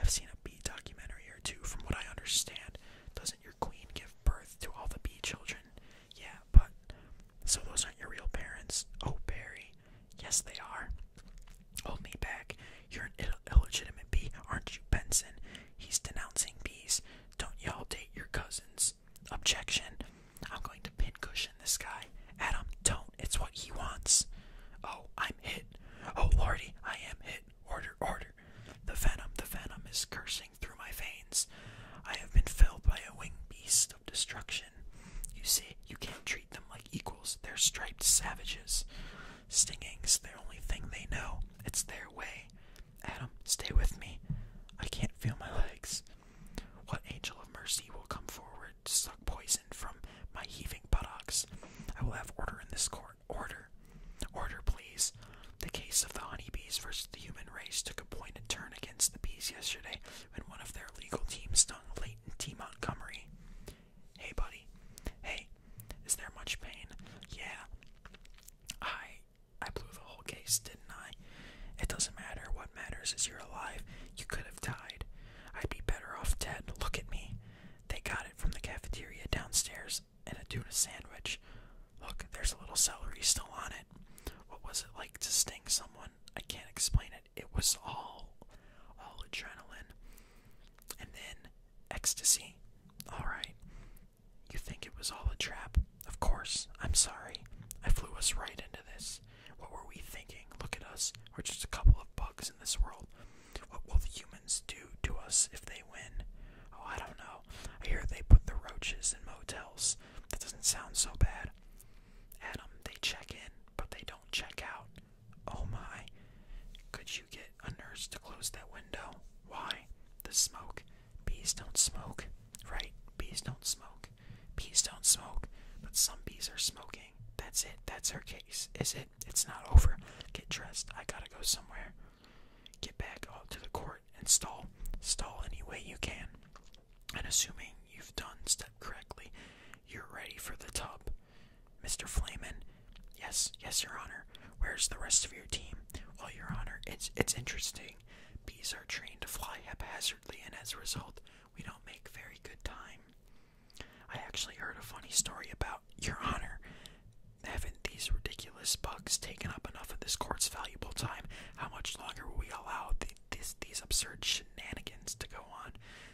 I've seen a bee documentary or two, from what I understand. Doesn't your queen give birth to all the bee children? Yeah, but so those aren't your real parents. Oh, Barry. Yes, they are. Hold me back. You're an illegitimate bee, aren't you, Benson? He's denouncing bees. Don't y'all date your cousins. Objection. I'm going to pincushion this guy. Adam, don't. It's what he wants. Oh, I'm hit. Oh, Lordy, I am hit. Order, order. The venom, the venom is cursing through my veins. I have been filled by a winged beast of destruction. You see, you can't treat them like equals. They're striped savages. Stinging's the only thing they know. It's their way. Adam, stay with me. I can't feel my legs. What angel of mercy will come forward to suck poison from my heaving buttocks? I will have order in this court. Order. Order, please. The case of the honeybees versus the human race took a pointed turn against the bees yesterday when one of their legal team stung Leighton T. Montgomery. Hey, buddy. Hey, is there much pain? Yeah. I. I blew the whole case, didn't I? It doesn't matter. What matters is you're alive. You could have died. I'd be better off dead. Look at me. They got it from the cafeteria downstairs and a tuna sandwich. Look, there's a little celery still on it. What was it like to sting someone? I can't explain it. It was all, all adrenaline, and then ecstasy. All right, you think it was all a trap? Of course. I'm sorry. I flew us right into this. What were we thinking? Look at us. We're just a couple of bugs in this world. What will the humans do to us if they win? Oh, I don't know. I hear they put the roaches in motels that doesn't sound so bad. Adam, they check in, but they don't check out. Oh my. Could you get a nurse to close that window? Why? The smoke. Bees don't smoke. Right? Bees don't smoke. Bees don't smoke. But some bees are smoking. That's it. That's her case. Is it? It's not over. Get dressed. I gotta go somewhere. Get back out to the court and stall. Stall any way you can. And assuming you've done step correctly, you're ready for the tub. Mr. Flamen, yes, yes, Your Honor. Where's the rest of your team? Well, Your Honor, it's it's interesting. Bees are trained to fly haphazardly, and as a result, we don't make very good time. I actually heard a funny story about Your Honor. having these ridiculous ridiculous bugs taken up enough of this court's valuable time. How much longer will we allow these absurd shenanigans to go on?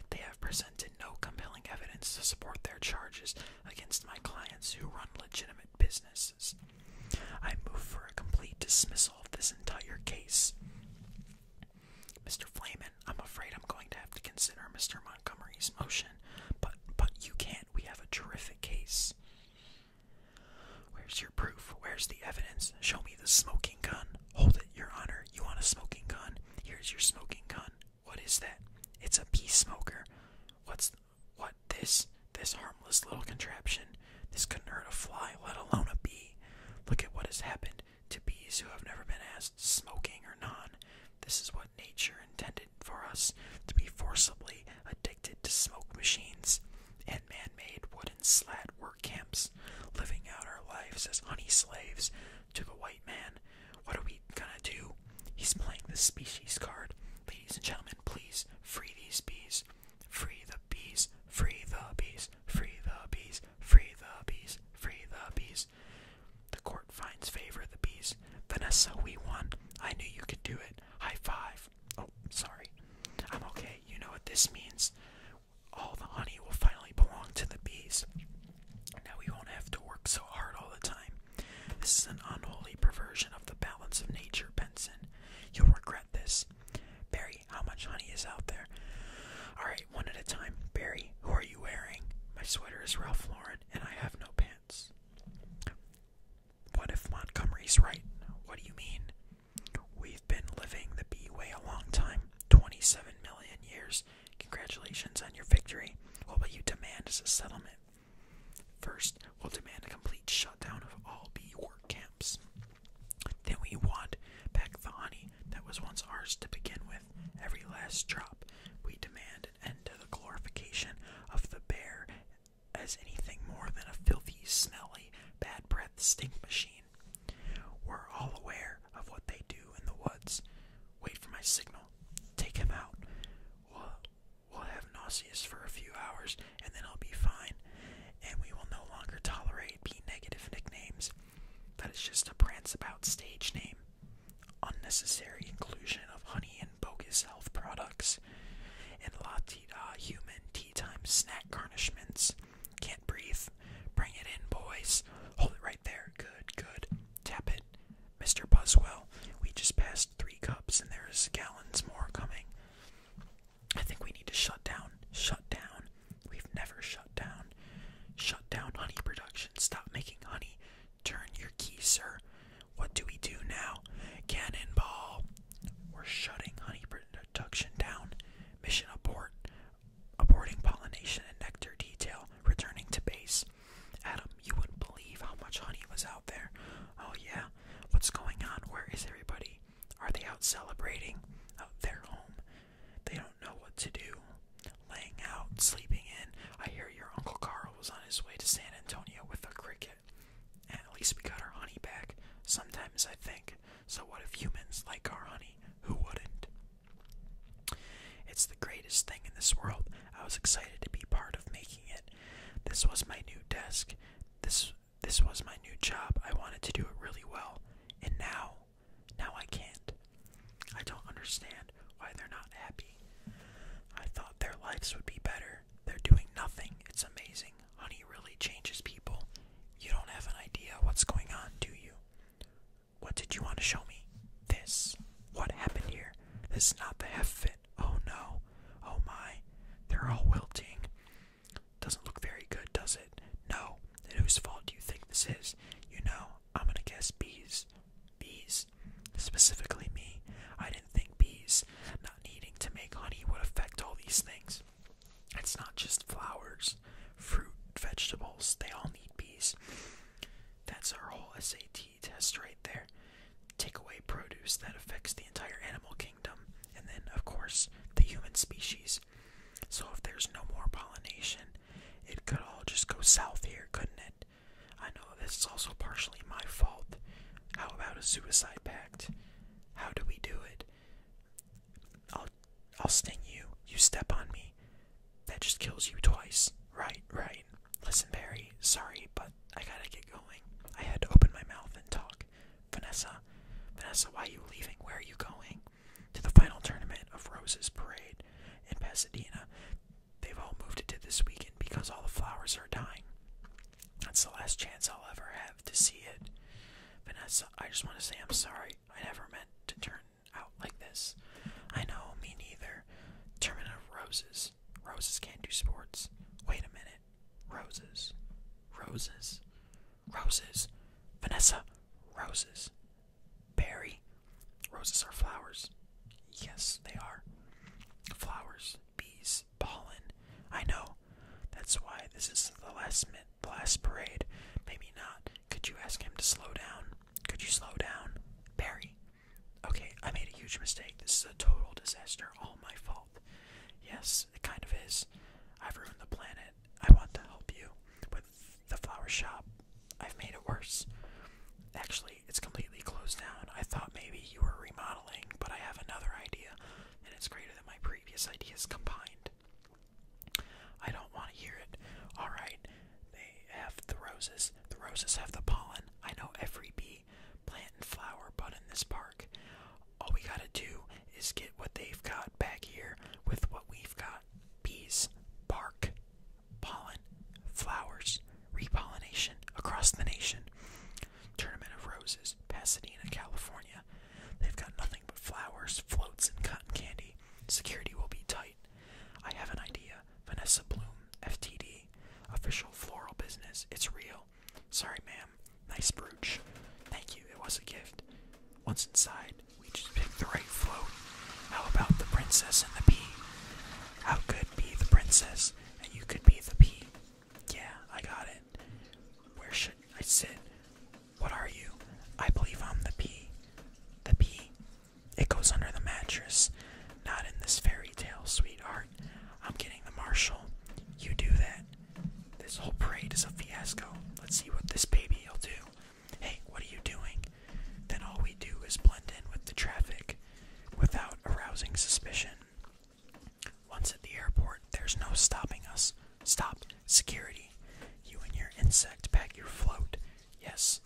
They have presented no compelling evidence to support their charges against my clients who run legitimate businesses. I move for a complete dismissal of this entire case. Mr. Flamen, I'm afraid I'm going to have to consider Mr. Montgomery's motion, but but you can't. We have a terrific case. Where's your proof? Where's the evidence? Show me the smoking gun. Hold it, Your Honor. You want a smoking gun? Here's your smoking gun. What is that? It's a bee smoker. What's what? This? This harmless little contraption? This couldn't hurt a fly, let alone a bee. Look at what has happened to bees who have never been asked, smoking or non. This is what nature intended for us to be forcibly addicted to smoke machines and man made wooden slat work camps, living out our lives as honey slaves to the white man. What are we gonna do? He's playing the species card. Ladies and gentlemen, please free these bees. Free the bees, free the bees, free the bees, free the bees, free the bees. The court finds favor of the bees. Vanessa, we won. I knew you could do it. High five. Oh, sorry. I'm okay. You know what this means? All the honey will finally belong to the bees. Now we won't have to work so hard all the time. This is an unholy perversion of the balance of nature, Benson. You'll regret this. Barry, how much honey is out there? Alright, one at a time. Barry, who are you wearing? My sweater is Ralph Lauren, and I have no pants. What if Montgomery's right? What do you mean? We've been living the B way a long time 27 million years. Congratulations on your victory. What will you demand as a settlement? First, we'll demand a complete shutdown of all B work camps. Then we want back the honey that was once ours to begin with, every last drop. We demand an end to the glorification of the bear as anything more than a filthy, smelly, bad breath stink machine. We're all aware of what they do in the woods. Wait for my signal. Take him out. We'll, we'll have nauseous for a few hours, and then I'll be fine. And we will no longer tolerate B negative nicknames. That is just a prance about stage name. Unnecessary inclusion of honey and and bogus health products, and latte da uh, human tea time snack garnishments. Can't breathe. Bring it in, boys. Hold it right there. Good, good. Tap it. Mr. Buzzwell, we just passed three cups and there's gallons more coming. I think we need to shut down. Shut down. We've never shut down. Shut down honey production. Stop making honey. Turn your key, sir. What do we do now? Cannonball! We're shutting honey production down. Mission abort. Aborting pollination and nectar detail. Returning to base. Adam, you wouldn't believe how much honey was out there. Oh, yeah. What's going on? Where is everybody? Are they out celebrating? Out their home? They don't know what to do. Laying out, sleeping in. I hear your Uncle Carl was on his way to San Antonio with a cricket at least we got our honey back. Sometimes I think, so what if humans like our honey? Who wouldn't? It's the greatest thing in this world. I was excited to be part of making it. This was my new desk. This this was my new job. I wanted to do it really well. And now, now I can't. I don't understand why they're not happy. I thought their lives would be better they're doing nothing. It's amazing. Honey really changes people. You don't have an idea what's going on, do you? What did you want to show me? This. What happened here? This is not the half fit. Oh no. Oh my. They're all wilting. Doesn't look very good, does it? No. Then whose fault do you think this is? You know, I'm gonna guess bees. Bees. Specifically me. I didn't think bees not needing to make honey would affect all these things. It's not just flowers, fruit, vegetables, they all need bees. That's our whole SAT test right there. Take away produce that affects the entire animal kingdom, and then, of course, the human species. So, if there's no more pollination, it could all just go south here, couldn't it? I know this is also partially my fault. How about a suicide pact? How do we do it? I'll I'll sting you. You step on me. That just kills you twice. Right, right. Listen, Barry, sorry, but I gotta get going. I had to open my mouth and talk. Vanessa, Vanessa, why are you leaving? Where are you going? To the final tournament of Rose's Parade in Pasadena. They've all moved it to this weekend because all the flowers are dying. That's the last chance I'll ever have to see it. Vanessa, I just want to say I'm sorry. I never meant to turn out like this. I know, me neither. Tournament of roses. Roses can't do sports. Wait a minute. Roses. Roses. Roses. Vanessa, roses. Barry, roses are flowers. Yes, they are. Flowers, bees, ballin'. I know. That's why this is the last minute, the last parade. Maybe not. Could you ask him to slow down? Could you slow down? Barry. Okay, I made a huge mistake. This is a total disaster. All my fault. Yes, it kind of is. I've ruined the planet. I want to help you with the flower shop. I've made it worse. Actually, it's completely closed down. I thought maybe you were remodeling, but I have another idea and it's greater than my previous ideas combined. I don't want to hear it. Alright, they have the roses. The roses have the pollen. I know every bee, plant, and flower bud in this park. All we gotta do is get what they've got back here with what we've got bees, park, pollen, flowers, repollination across the nation. Tournament of Roses, Pasadena, California. They've got nothing but flowers, floats, and cotton candy. Security will be tight. I have an idea. Vanessa Bloom, FTD. Official floral business. It's real. Sorry, ma'am. Nice brooch. Thank you. It was a gift. Once inside, we just pick the right float. How about the princess and the pea? How could be the princess and you could be the pea? Yeah, I got it. Where should I sit? What are you? I believe I'm the pea. The pea? It goes under the mattress. Not in this fairy tale, sweetheart. I'm getting the marshal. You do that. This whole parade is a fiasco. Let's see what this baby will do. Hey, what are you doing? Then all we do is blend in with the traffic without arousing suspicion. Once at the airport, there's no stopping us. Stop. Security. You and your insect pack your float. Yes.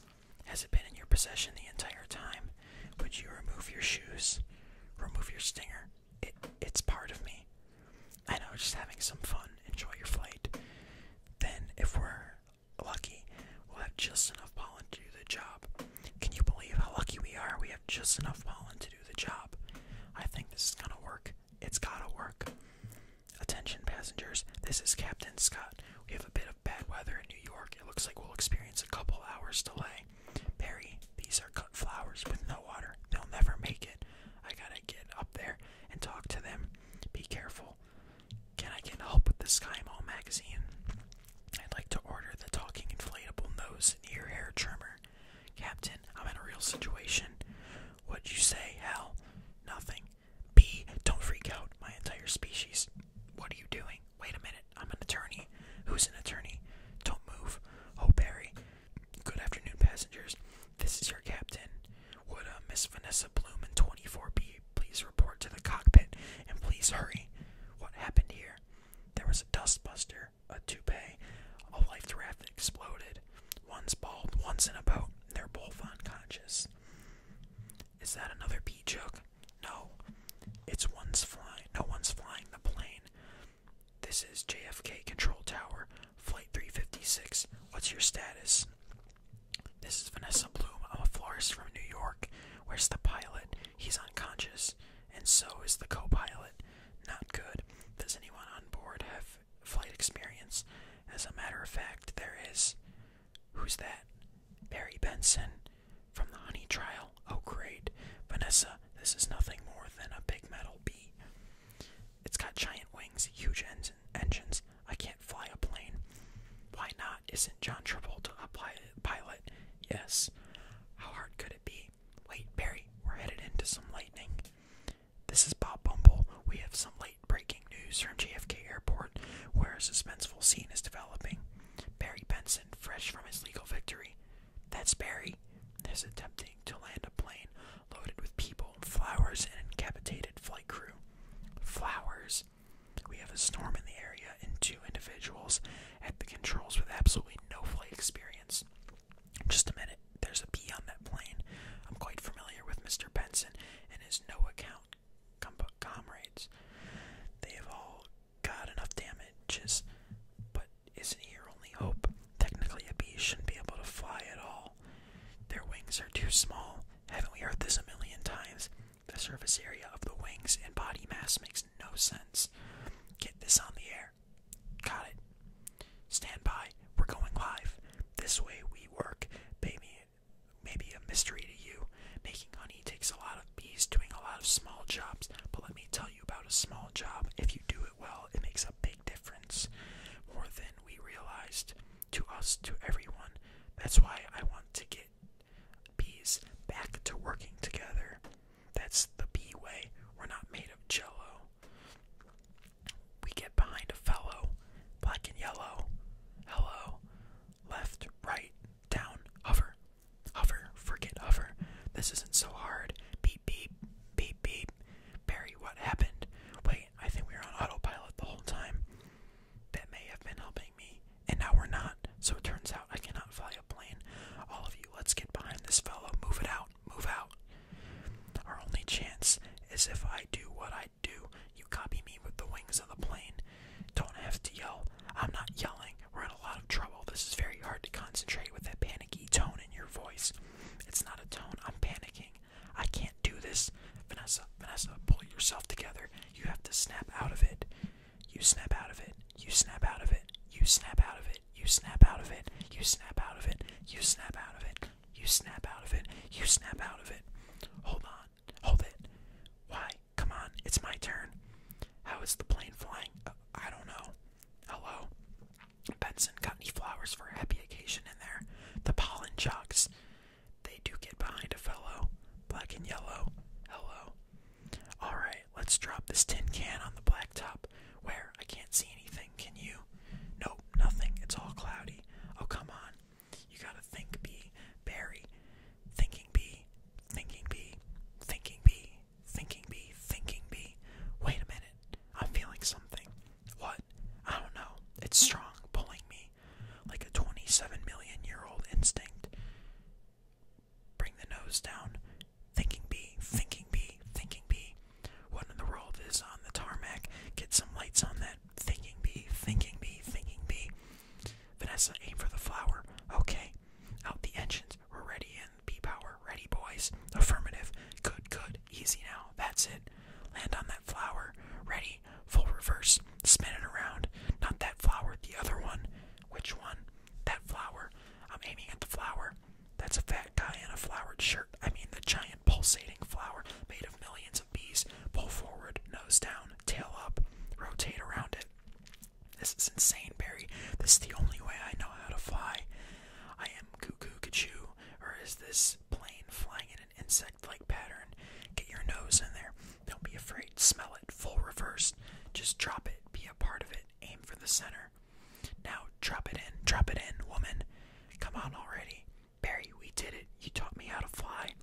Has it been in your possession the entire time? Would you remove your shoes? Remove your stinger. it's part of me. I know, just having some fun. Enjoy your flight. Then, if we're lucky, we'll have just enough pollen to do the job. Can you believe how lucky we are? We have just enough pollen to do the job. I think this is gonna work. It's gotta work. Attention, passengers. This is Captain Scott. We have a bit of bad weather in New York. It looks like we'll experience a couple hours delay. Barry, these are cut flowers with no water. They'll never make it. I gotta get up there and talk to them. Be careful. Can I get help with the Sky Mall magazine? I'd like to order the talking inflatable nose and ear hair trimmer. Captain, I'm in a real situation. What'd you say, Hell, Nothing. B, don't freak out, my entire species. What are you doing? Wait a minute, I'm an attorney. Who's an attorney? Don't move. Oh, Barry. Good afternoon, passengers. This is your captain. Would uh, Miss Vanessa Bloom in 24B please report to the cockpit and please hurry? What happened here? There was a dustbuster a toupee, a life raft exploded. One's bald, one's in a boat. They're both unconscious. Is that another pee joke? No. It's one's flying. No one's flying the plane. This is JFK Control Tower, Flight 356. What's your status? This is Vanessa Bloom. I'm a florist from New York. Where's the pilot? He's unconscious, and so is the co pilot. Not good. Does anyone on board have flight experience? As a matter of fact, there is. Who's that? Barry Benson from the Honey Trial. Oh, great. Vanessa, this is nothing more than a big metal bee. It's got giant wings, huge engines. I can't fly a plane. Why not? Isn't John Travolta a pilot? Yes. How hard could it be? Wait, Barry, we're headed into some lightning. This is Bob Bumble. We have some late breaking news from JFK Airport, where a suspenseful scene is developing. Barry Benson, fresh from his legal victory. That's Barry, is attempting to land a plane loaded with people, flowers, and incapacitated flight crew. Flowers. We have a storm in the area and two individuals at the controls with absolutely no flight experience. Just a minute, there's a bee on that plane. I'm quite familiar with Mr. Benson and his no account com comrades. They have all got enough damages, but isn't he your only hope? Technically, a bee shouldn't be able to fly at all. Their wings are too small. Haven't we heard this a million times? The surface area of the wings and body mass makes no sense. Get this on the air. Got it. Stand by. We're going live. This way we work. Maybe, maybe a mystery to you. Making honey takes a lot of bees doing a lot of small jobs, but let me tell you about a small job. If you do it well, it makes a big difference. More than we realized to us, to everyone. That's why I want to get bees back to working together. That's the B way. We're not made of jello. We get behind a fellow, black and yellow. Hello. Left, right, down, hover. Hover, forget hover. This isn't so hard. Beep, beep, beep, beep. Barry, what happened? Wait, I think we were on autopilot the whole time. That may have been helping me, and now we're not. So it turns out I cannot fly a plane. All of you, let's get behind this fellow. Move it out. Move out. Our only chance is if I do what I do. You copy me with the wings of the plane. Don't have to yell. I'm not yelling. We're in a lot of trouble. This is very hard to concentrate with that panicky tone in your voice. It's not a tone. I'm panicking. I can't do this. Vanessa, Vanessa, pull yourself together. You have to snap out of it. You snap out of it. You snap out of it. You snap out of it you snap out of it, you snap out of it, you snap out of it, you snap out of it, you snap out of it. Hold on, hold it. Why? Come on, it's my turn. How is the plane flying? Uh, I don't know. Hello? Benson got any flowers for a happy occasion in there? The pollen chucks. They do get behind a fellow. Black and yellow. Hello. Alright, let's drop this tin can on the blacktop. Where? I can't see anything, can you? Nope, nothing. It's all cloudy. Oh, come on. You gotta think, bee. Barry. Thinking bee. Thinking bee. Thinking bee. Thinking bee. Thinking bee. Wait a minute. I'm feeling something. What? I don't know. It's strong, pulling me. Like a 27 million year old instinct. Bring the nose down. Thinking bee, thinking bee, thinking bee. What in the world is on the tarmac? Get some lights on that. Thinking bee, thinking bee, thinking bee. Vanessa, aim for the flower. Okay. Out the engines. We're ready in bee power. Ready, boys. Affirmative. Good, good. Easy now. That's it. Land on that flower. Ready. Full reverse. Spin it around. Not that flower. The other one. Which one? That flower. I'm aiming at the flower. That's a fat guy in a flowered shirt. I mean, the giant pulsating flower made of millions of bees. Pull forward, nose down, tail up, rotate around it. This is insane, Barry. This is the only way I know how to fly. I am cuckoo kachu. or is this plane flying in an insect like pattern? Get your nose in there. Don't be afraid. Smell it. Full reverse. Just drop it. Be a part of it. Aim for the center. Now drop it in, drop it in, woman. Come on already. Barry, we did it. You taught me how to fly.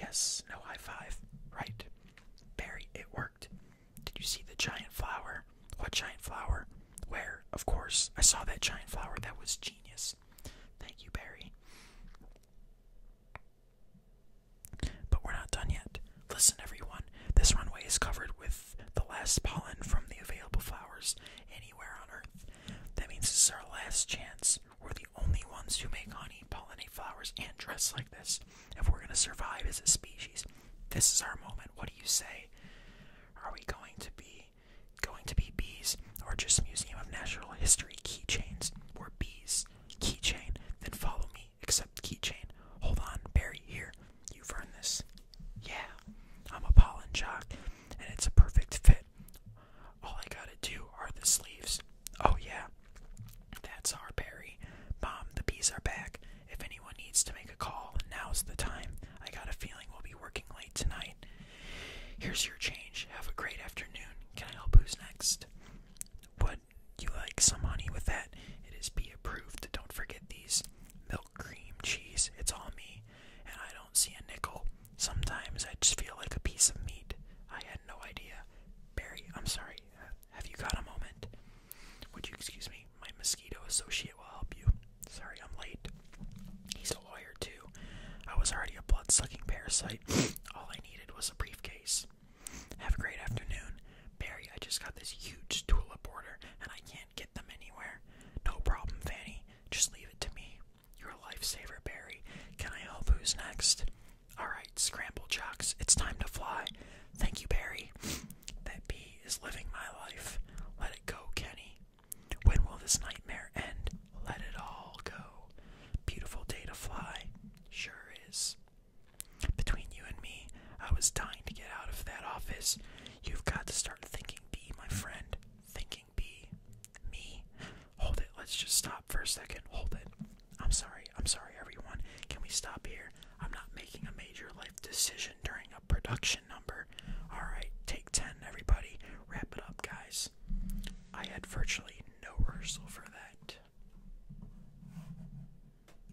Yes, no high five. Right. Barry, it worked. Did you see the giant flower? What giant flower? Where? Of course. I saw that giant flower. That was genius. Thank you, Barry. But we're not done yet. Listen, everyone, this runway is covered with the last pollen from the available flowers anywhere on Earth. That means this is our last chance. We're the only ones who make honey, pollinate flowers, and dress like this. If we're going to survive as a species, this is our moment. What do you say? Are we going to be going to be bees or just Museum of Natural History keychains? We're bees. Keychain. Then follow me. Except keychain. Hold on. Barry, here. You've earned this. Yeah, I'm a pollen jock, and it's a perfect fit. All I gotta do are the sleeves. Oh, yeah, that's our berry. Mom, the bees are back. If anyone needs to make a call, now's the time. I got a feeling we'll be working late tonight. Here's your change. Have a great afternoon. Can I help who's next? What you like some honey with that, it is be approved. Don't forget these milk cream cheese. It's all me, and I don't see a nickel. Sometimes I just feel like a piece of meat. I had no idea. Barry, I'm sorry. Have you got a moment? Would you excuse me? My mosquito associate will help you. Sorry, I'm late. He's a lawyer, too. I was already a blood sucking parasite. All I needed was a briefcase. Have a great afternoon. Barry, I just got this huge tulip order and I can't get them anywhere. No problem, Fanny. Just leave it to me. You're a lifesaver, Barry. Can I help who's next? Alright, scramble jocks. It's time to fly. Thank you, Barry. That bee is living my life. Let it go, Kenny. When will this nightmare end? Let it all go. Beautiful day to fly. Sure is. Between you and me, I was dying to get out of that office. You've got to start thinking B, my friend. Thinking B. Me? Hold it. Let's just stop for a second. Hold it. I'm sorry. I'm sorry, everyone. Can we stop here? I'm not making a major life decision during a production number. Alright, take 10, everybody. Wrap it up, guys. I had virtually no rehearsal for that.